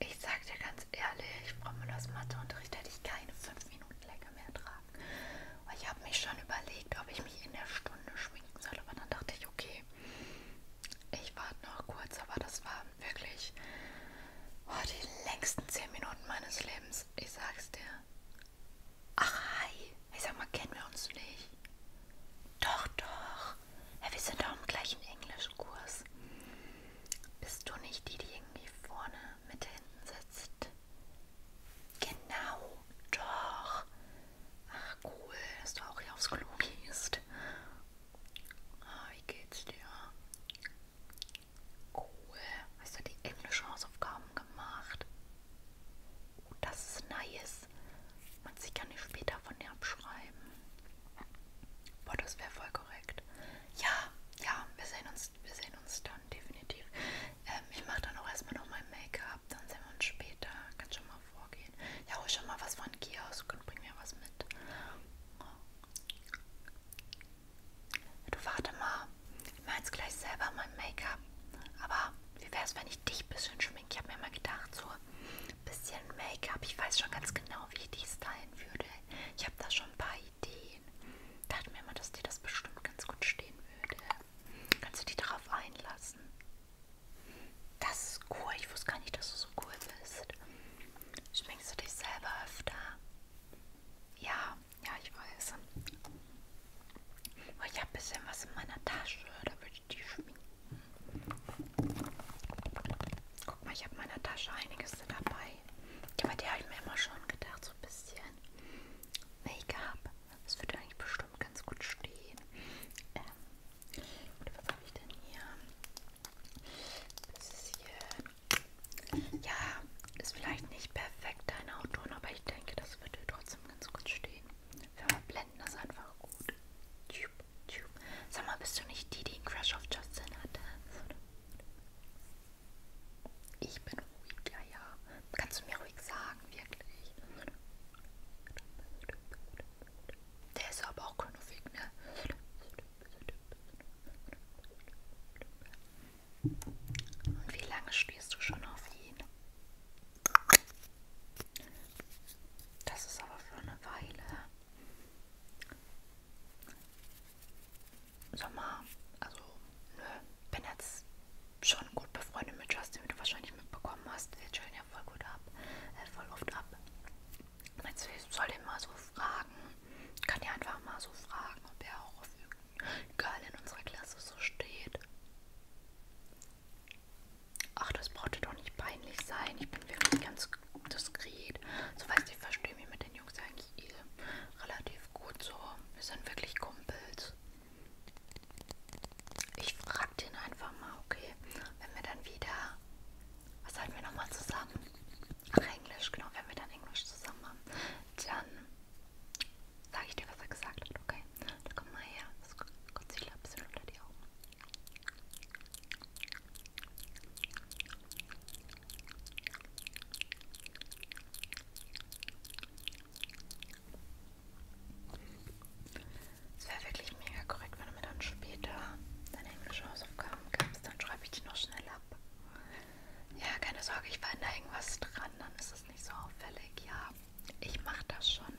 Ich sag dir ganz ehrlich, Frau Müllers Matheunterricht hätte ich keine fünf Minuten länger mehr tragen. Weil ich habe mich schon überlegt, ob ich mich in der Stunde schminken soll, aber dann dachte ich, okay, ich warte noch kurz, aber das waren wirklich oh, die längsten zehn Minuten meines Lebens. Ich sag's dir. Ach hi, ich sag mal, kennen wir uns nicht? Doch, doch doch, ja, wir sind doch im gleichen Englischkurs. Bist du nicht die, die irgendwie vorne mit hinten sitzt? Genau, doch. Ach cool, dass du auch hier aufs Klo gehst. Ah, wie geht's dir? Cool, hast du die englischen Hausaufgaben gemacht? Oh, das ist nice. Man sieht ja nicht später von dir abschreiben. Boah, das wäre voll korrekt. Ja, ja, wir sehen uns, wir sehen uns dann definitiv. Ähm, ich mache dann auch erstmal noch mein Make-up, dann sehen wir uns später. Kann schon mal vorgehen. Ja, hol schon mal was von Kiosk und bring mir was mit. Du warte mal, ich mache jetzt gleich selber mein Make-up. Aber wie wäre es, wenn ich dich ein bisschen schminke? Ich habe mir mal gedacht, so bisschen Make-up. Ich weiß schon ganz genau, wie ich die stylen würde. Ich habe da schon ein paar Ideen. Dachte mir immer, dass dir das bestimmt ganz gut stehen würde. Kannst du dich darauf einlassen? Das ist cool. Ich wusste gar nicht, dass du so cool bist. Schminkst du dich selber öfter? Ja, ja, ich weiß. Aber ich habe ein bisschen was in meiner Tasche. Da würde ich die schminken. Guck mal, ich habe in meiner Tasche einiges dabei. Aber die habe ich mir immer schon gedacht, so ein bisschen. Make-up. Das würde eigentlich bestimmt ganz gut stehen. Ähm, was habe ich denn hier? Das ist hier. Ja, ist vielleicht nicht perfekt dein Auto, aber ich denke, das würde trotzdem ganz gut stehen. Wenn man fänden das einfach gut. Sag mal, bist du nicht die, die einen Crash auf Justin hatte? Ich bin ruhig, ja, ja. Kannst du mir ruhig sagen, wirklich? Der ist aber auch knuffig, ne? Und wie lange stehst du schon auf ihn? Das ist aber für eine Weile. Sommer, also nö, ne, bin jetzt schon gut befreundet mit Justin, wie du wahrscheinlich mitbekommen hast. Wir chillen ja voll gut ab, äh, voll oft ab. Jetzt soll ich mal so fragen, kann ja einfach mal so fragen, ob er auch auf irgendein Girl in unserer Klasse so steht. Ach, das brauchte doch nicht peinlich sein. Ich bin wirklich ganz diskret. So weißt du, ich verstehe mich mit den Jungs eigentlich eh relativ gut so. Wir sind wirklich Kumpels. Ich frag den einfach mal, okay, wenn wir dann wieder. Was halten wir nochmal zusammen? Ach, Englisch, genau, wenn wir dann Englisch zusammen haben. Dann sage ich dir, was er gesagt hat, okay? Da komm mal her. Das Concealer ein bisschen unter die Augen. Es wäre wirklich mega korrekt, wenn du mir dann später deine englische Hausaufgaben gibst, dann schreibe ich die noch schnell ab. Ja, keine Sorge, ich fand da irgendwas dran, dann ist es nicht so auffällig. Ja, ich mache das schon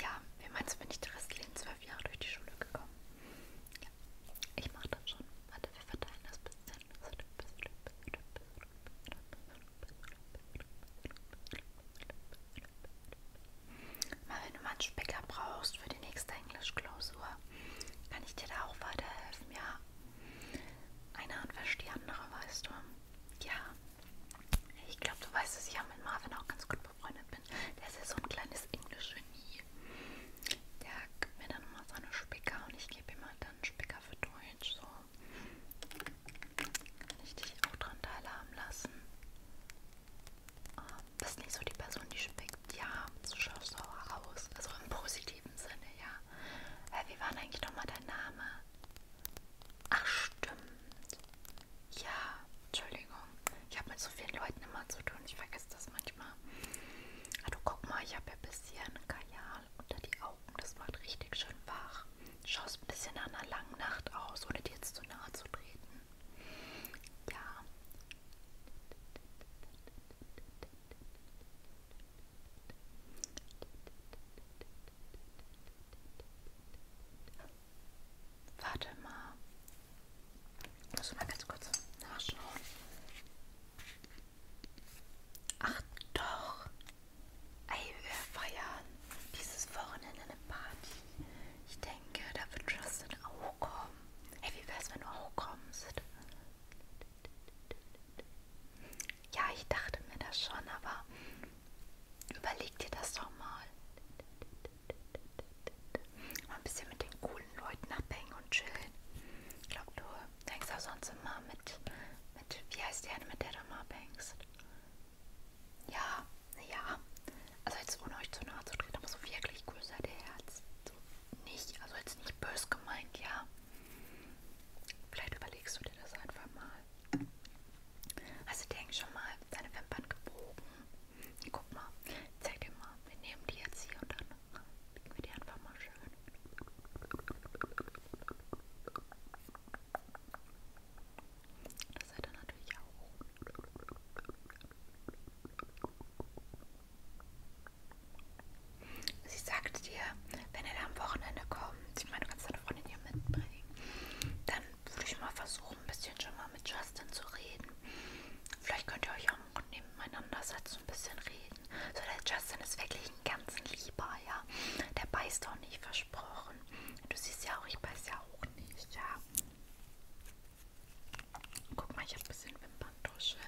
ja, wie meinst du, bin ich die restlichen zwölf Jahre durch die Schule gekommen? Ja, ich mache das schon. Warte, wir verteilen das bisschen. Mal, wenn du mal einen Specker brauchst für die nächste Englischklausur, kann ich dir da auch weiterhelfen, ja? Eine Hand wäscht die andere, weißt du? Ja. Ich glaube, du weißt, dass ich ja mit Marvin auch ganz gut befreundet bin. Der ist ja so ein kleines Englisch-Genie. Der gibt mir dann immer seine Spicker und ich gebe ihm halt dann Spicker für Deutsch. So. Kann ich dich auch dran teilhaben lassen? Ähm, das ist nicht so die Person, die spickt. Ja, du schaust auch raus. Also im positiven Sinne, ja. Wie war denn eigentlich nochmal dein Name? Ach, stimmt. Ja, Entschuldigung. Ich habe mit so vielen Leuten immer zu tun. Ich vergesse das manchmal. Also guck mal, ich habe ein bisschen Kajal unter die Augen. Das macht richtig schön wach. Schaust ein bisschen nach einer langen Nacht aus, ohne dir jetzt zu nahe zu treten. Ja. Warte mal. Muss mal ganz kurz nachschauen. Ach doch. Ey, wir feiern dieses Wochenende eine Party. Ich denke, da wird Justin auch kommen. Ey, wie wär's, wenn du auch kommst? Ja, ich dachte mir das schon, aber Überleg dir das doch mal. Mal ein bisschen mit den coolen Leuten abhängen und chillen. Ich glaube, du hängst auch sonst immer mit, mit wie heißt die eine, mit der du mal abhängst? Ja, ja. Also jetzt ohne euch zu nahe zu treten, aber so wirklich cool sei der Herz. So nicht, also jetzt nicht bös gemeint, ja. Vielleicht überlegst du dir das einfach mal. Also denk schon mal, deine Wimpern gebogen. Guck mal, zeig dir mal. Wir nehmen die jetzt hier und dann biegen wir die einfach mal schön. Das seid ihr natürlich auch. Sie sagt dir, wenn ihr da am Wochenende kommt, kommt, ich meine, du kannst deine Freundin hier mitbringen, dann würde ich mal versuchen, ein bisschen schon mal mit Justin zu reden. Vielleicht könnt ihr euch auch nebeneinander setzen, ein bisschen reden. So, der Justin ist wirklich ein ganz lieber, ja. Der beißt auch nicht, versprochen. Du siehst ja auch, ich beiß ja auch nicht, ja. Guck mal, ich habe ein bisschen Wimperntusche.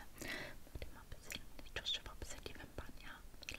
Mach dir mal ein bisschen die Tusche, ein bisschen die Wimpern, ja.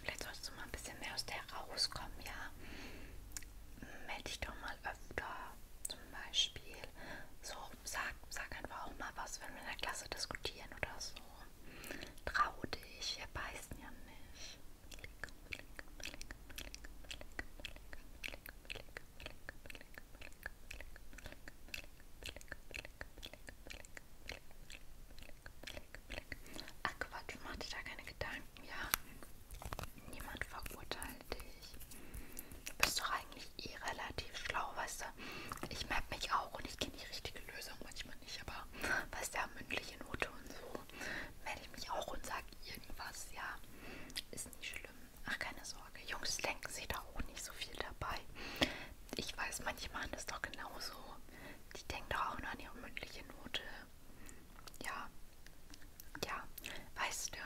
Vielleicht sollst du mal ein bisschen mehr aus der rauskommen, ja? Meld dich doch mal öfter. Zum Beispiel. So, sag, sag einfach auch mal was, wenn wir in der Klasse diskutieren oder so. Trau dich, wir beißen ja nicht. Augenblick. Ach Quatsch, mach dir da keine Gedanken, ja. Niemand verurteilt dich. Du bist doch eigentlich eh relativ schlau, weißt du. Ich merke mich auch und ich kenne die richtige Lösung manchmal nicht, aber weißt du, ja, mündliche Note und so melde ich mich auch und sage irgendwas, ja. Ist nicht schlimm. Ach, keine Sorge. Jungs denken sich da auch nicht so viel dabei. Ich weiß, manche machen das doch genauso. Die denken doch auch nur an ihre mündliche Note, ja. Ja. Weißt du,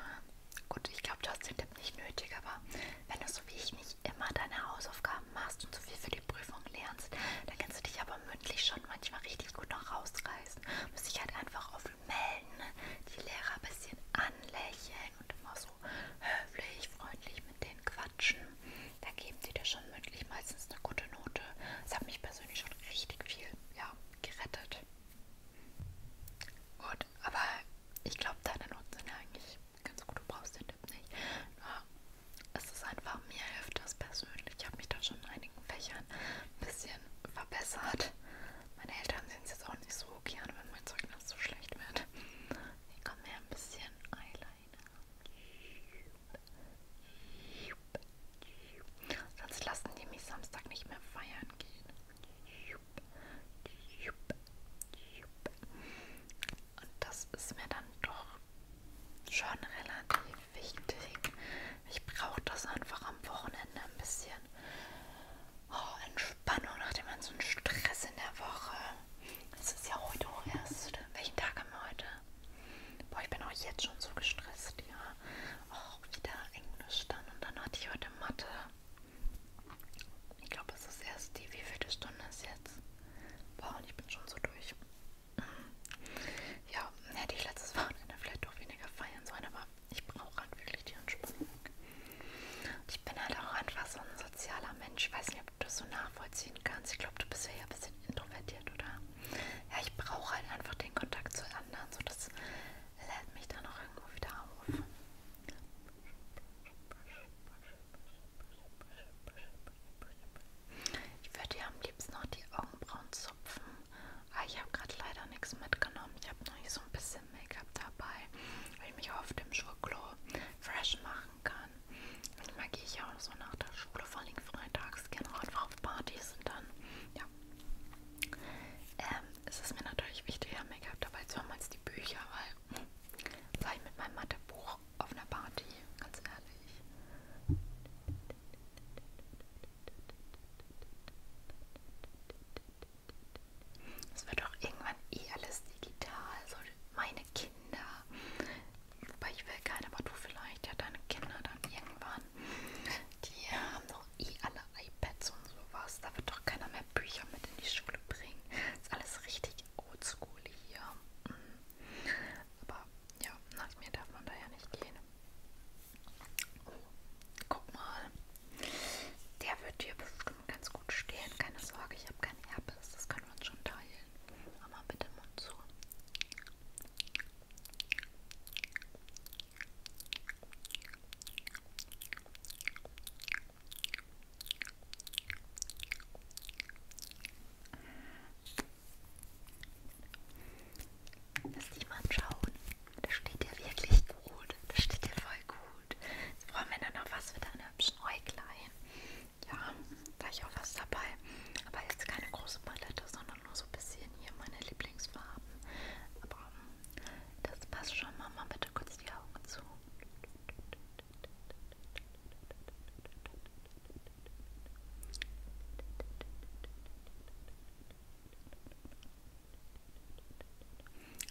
gut, ich glaube, du hast den Tipp nicht nötig, aber wenn du so wie ich nicht immer deine Hausaufgaben machst und so viel für die Prüfung lernst, dann kannst du dich aber mündlich schon manchmal richtig gut noch rausreißen. Muss ich halt einfach offen melden, die Lehrer ein bisschen anlächeln und immer so höflich, freundlich mit denen quatschen da geben sie dir schon mündlich meistens eine gute Note. Das hat mich persönlich schon richtig viel ja, gerettet. Gut, aber ich glaube, deine Noten sind ja eigentlich ganz gut. Du brauchst den Tipp nicht. Nur es ist einfach, mir hilft das persönlich. Ich habe mich da schon in einigen Fächern ein bisschen verbessert. Meine Eltern sehen es jetzt auch nicht so gerne, wenn mein Zeugnis so schlecht wird. Ich komme mir ein bisschen Eile keiner. Sonst lassen die mich Samstag nicht mehr feiern gehen. Und das ist mir dann doch schon relativ wichtig. Ich brauche das einfach am Wochenende ein bisschen oh, Entspannung, nachdem man so einen Stress in der Woche. Es ist ja heute auch erst. Welchen Tag haben wir heute? Boah, ich bin auch jetzt schon so gestresst, ja. Auch oh, wieder Englisch dann und dann hatte ich heute Mathe. Ich glaube, es ist erst die, wie viele Stunde ist jetzt? Boah, und ich bin schon so durch. Ja, hätte ich letztes Wochenende vielleicht doch weniger feiern sollen, aber ich brauche halt wirklich die Entspannung. Ich bin halt auch einfach so ein sozialer Mensch. Ich weiß nicht, nicht, ob du das so nachvollziehen kannst. Ich glaube, du bist ja ein bisschen introvertiert, oder? Ja, ich brauche halt einfach den Kontakt zu anderen. So, das lädt mich dann auch irgendwo wieder auf. Ich würde dir am liebsten noch die Augenbrauen zupfen. Aber ah, ich habe gerade leider nichts mitgenommen. Ich habe noch nicht so ein bisschen Make-up dabei. Will ich mich auf dem Schoklo fresh machen machen kann. Manchmal also gehe ich ja auch so nach der Schule, vor allem freitags, gerne einfach auf Partys und dann, ja. Ähm, es ist mir natürlich wichtiger, Make-up dabei zu haben als die Bücher, weil war ich mit meinem Mathebuch auf einer Party, ganz ehrlich. Es wird doch irgendwann eh alles digital, so meine Kinder Wobei ich will keine, aber du vielleicht, ja deine Kinder dann irgendwann. Die haben doch eh alle iPads und sowas. Da wird doch keiner mehr Bücher mit in die Schule bringen. Ist alles richtig oldschool hier. Mhm. Aber ja, nach mir darf man da ja nicht gehen. Oh, guck mal. Der wird dir bestimmt ganz gut stehen. Keine Sorge, ich habe kein Herpes. Das können wir uns schon teilen. Mama, bitte Mund zu. Lass dich mal schauen. Das steht dir wirklich gut. Das steht dir voll gut. Jetzt brauchen wir nur noch was für deine hübschen Äuglein ja, gleich auch was dabei. Aber jetzt keine große Palette, sondern nur so ein bisschen hier meine Lieblingsfarben. Aber ähm, das passt schon. Mach mal bitte kurz die Augen zu.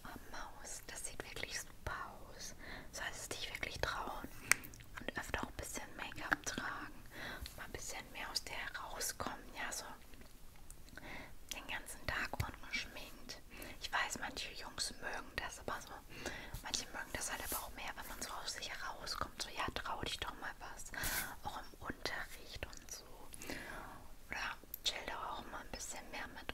Oh, Maus, das sieht wirklich so Pause. Solltest dich wirklich trauen und öfter auch ein bisschen Make-up tragen. Und mal ein bisschen mehr aus dir herauskommen. Ja, so den ganzen Tag ungeschminkt. Ich weiß, manche Jungs mögen das, aber so. Manche mögen das halt aber auch mehr, wenn man so aus sich herauskommt. So, ja, trau dich doch mal was. Auch im Unterricht und so. Oder chill doch auch mal ein bisschen mehr mit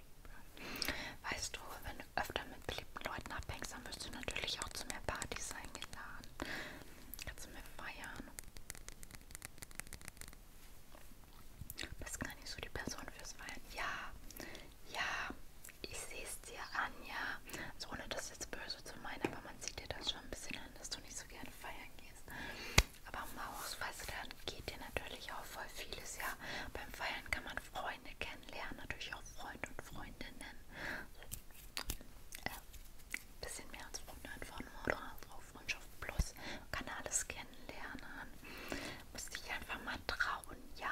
Weißt du, wenn du öfter mit beliebten Leuten abhängst, dann wirst du natürlich auch zu mehr Partys eingeladen. Kannst du mehr feiern. Bist gar nicht so die Person fürs Feiern. Ja, ja, ich sehe es dir an, ja. Also ohne das jetzt böse zu meinen, aber man sieht dir das schon ein bisschen an, dass du nicht so gerne feiern gehst. Aber Maus, dann geht dir natürlich auch voll vieles, ja. Beim Feiern kann man Freunde kennenlernen, natürlich auch Freunde und Freundinnen. Äh, bisschen mehr als Freunde von oder also auf Freundschaft Plus. Man kann alles kennenlernen. Muss dich einfach mal trauen, ja.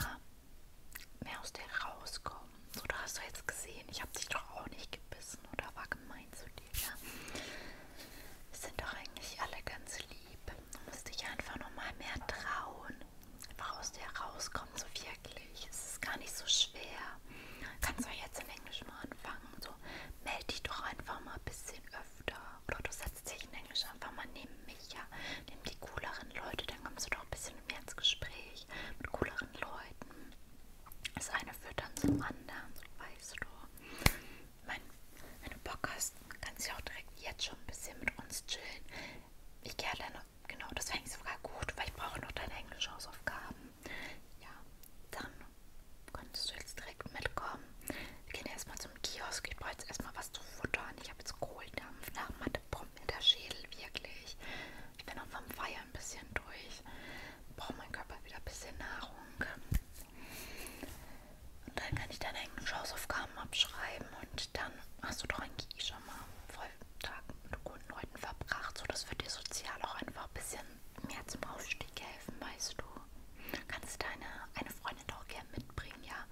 Mehr aus dir rauskommen. So, da hast du jetzt gesehen, ich habe dich doch auch nicht gebissen oder war gemein zu dir, ja. Wir sind doch eigentlich alle ganz lieb Du musst dich einfach nochmal mehr trauen. Einfach aus dir rauskommen, so wirklich. Es ist gar nicht so schwer. Kannst du jetzt im Englisch mal anfangen. So, melde dich doch einfach mal ein bisschen öfter. Oder du setzt dich in Englisch einfach mal neben mich, ja. Nimm die cooleren Leute, dann kommst du doch ein bisschen mehr ins Gespräch mit cooleren Leuten. Das eine führt dann zum anderen, so weißt du mein, wenn du Bock hast, kannst du auch direkt jetzt schon ein bisschen mit uns chillen. Ich gehe alleine, genau, das fände ich sogar gut, weil ich brauche noch deine englische Hausaufgaben. Ja, dann könntest du jetzt direkt mitkommen. Wir gehen erstmal zum Kiosk. Ich brauche jetzt erstmal was zu futtern. Ich habe jetzt Kohldampf nach Mathepump in der Schädel, wirklich. Ich bin auch vom Feiern ein bisschen durch. Brauche mein Körper wieder ein bisschen Nahrung. Und dann kann ich deine englischen Hausaufgaben abschreiben und dann hast du doch eigentlich eh schon mal voll Tag mit guten Leuten verbracht. So, das wird dir sozial auch einfach ein bisschen mehr zum Aufstieg helfen, weißt du. Kannst deine eine Freundin doch gerne mitbringen, ja.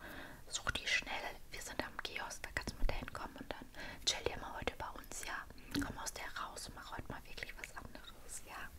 Such die schnell. Wir sind am Kiosk, da kannst du mit dahin kommen und dann chill dir mal heute bei uns, ja. Komm aus der raus und mach heute mal wirklich was anderes, ja.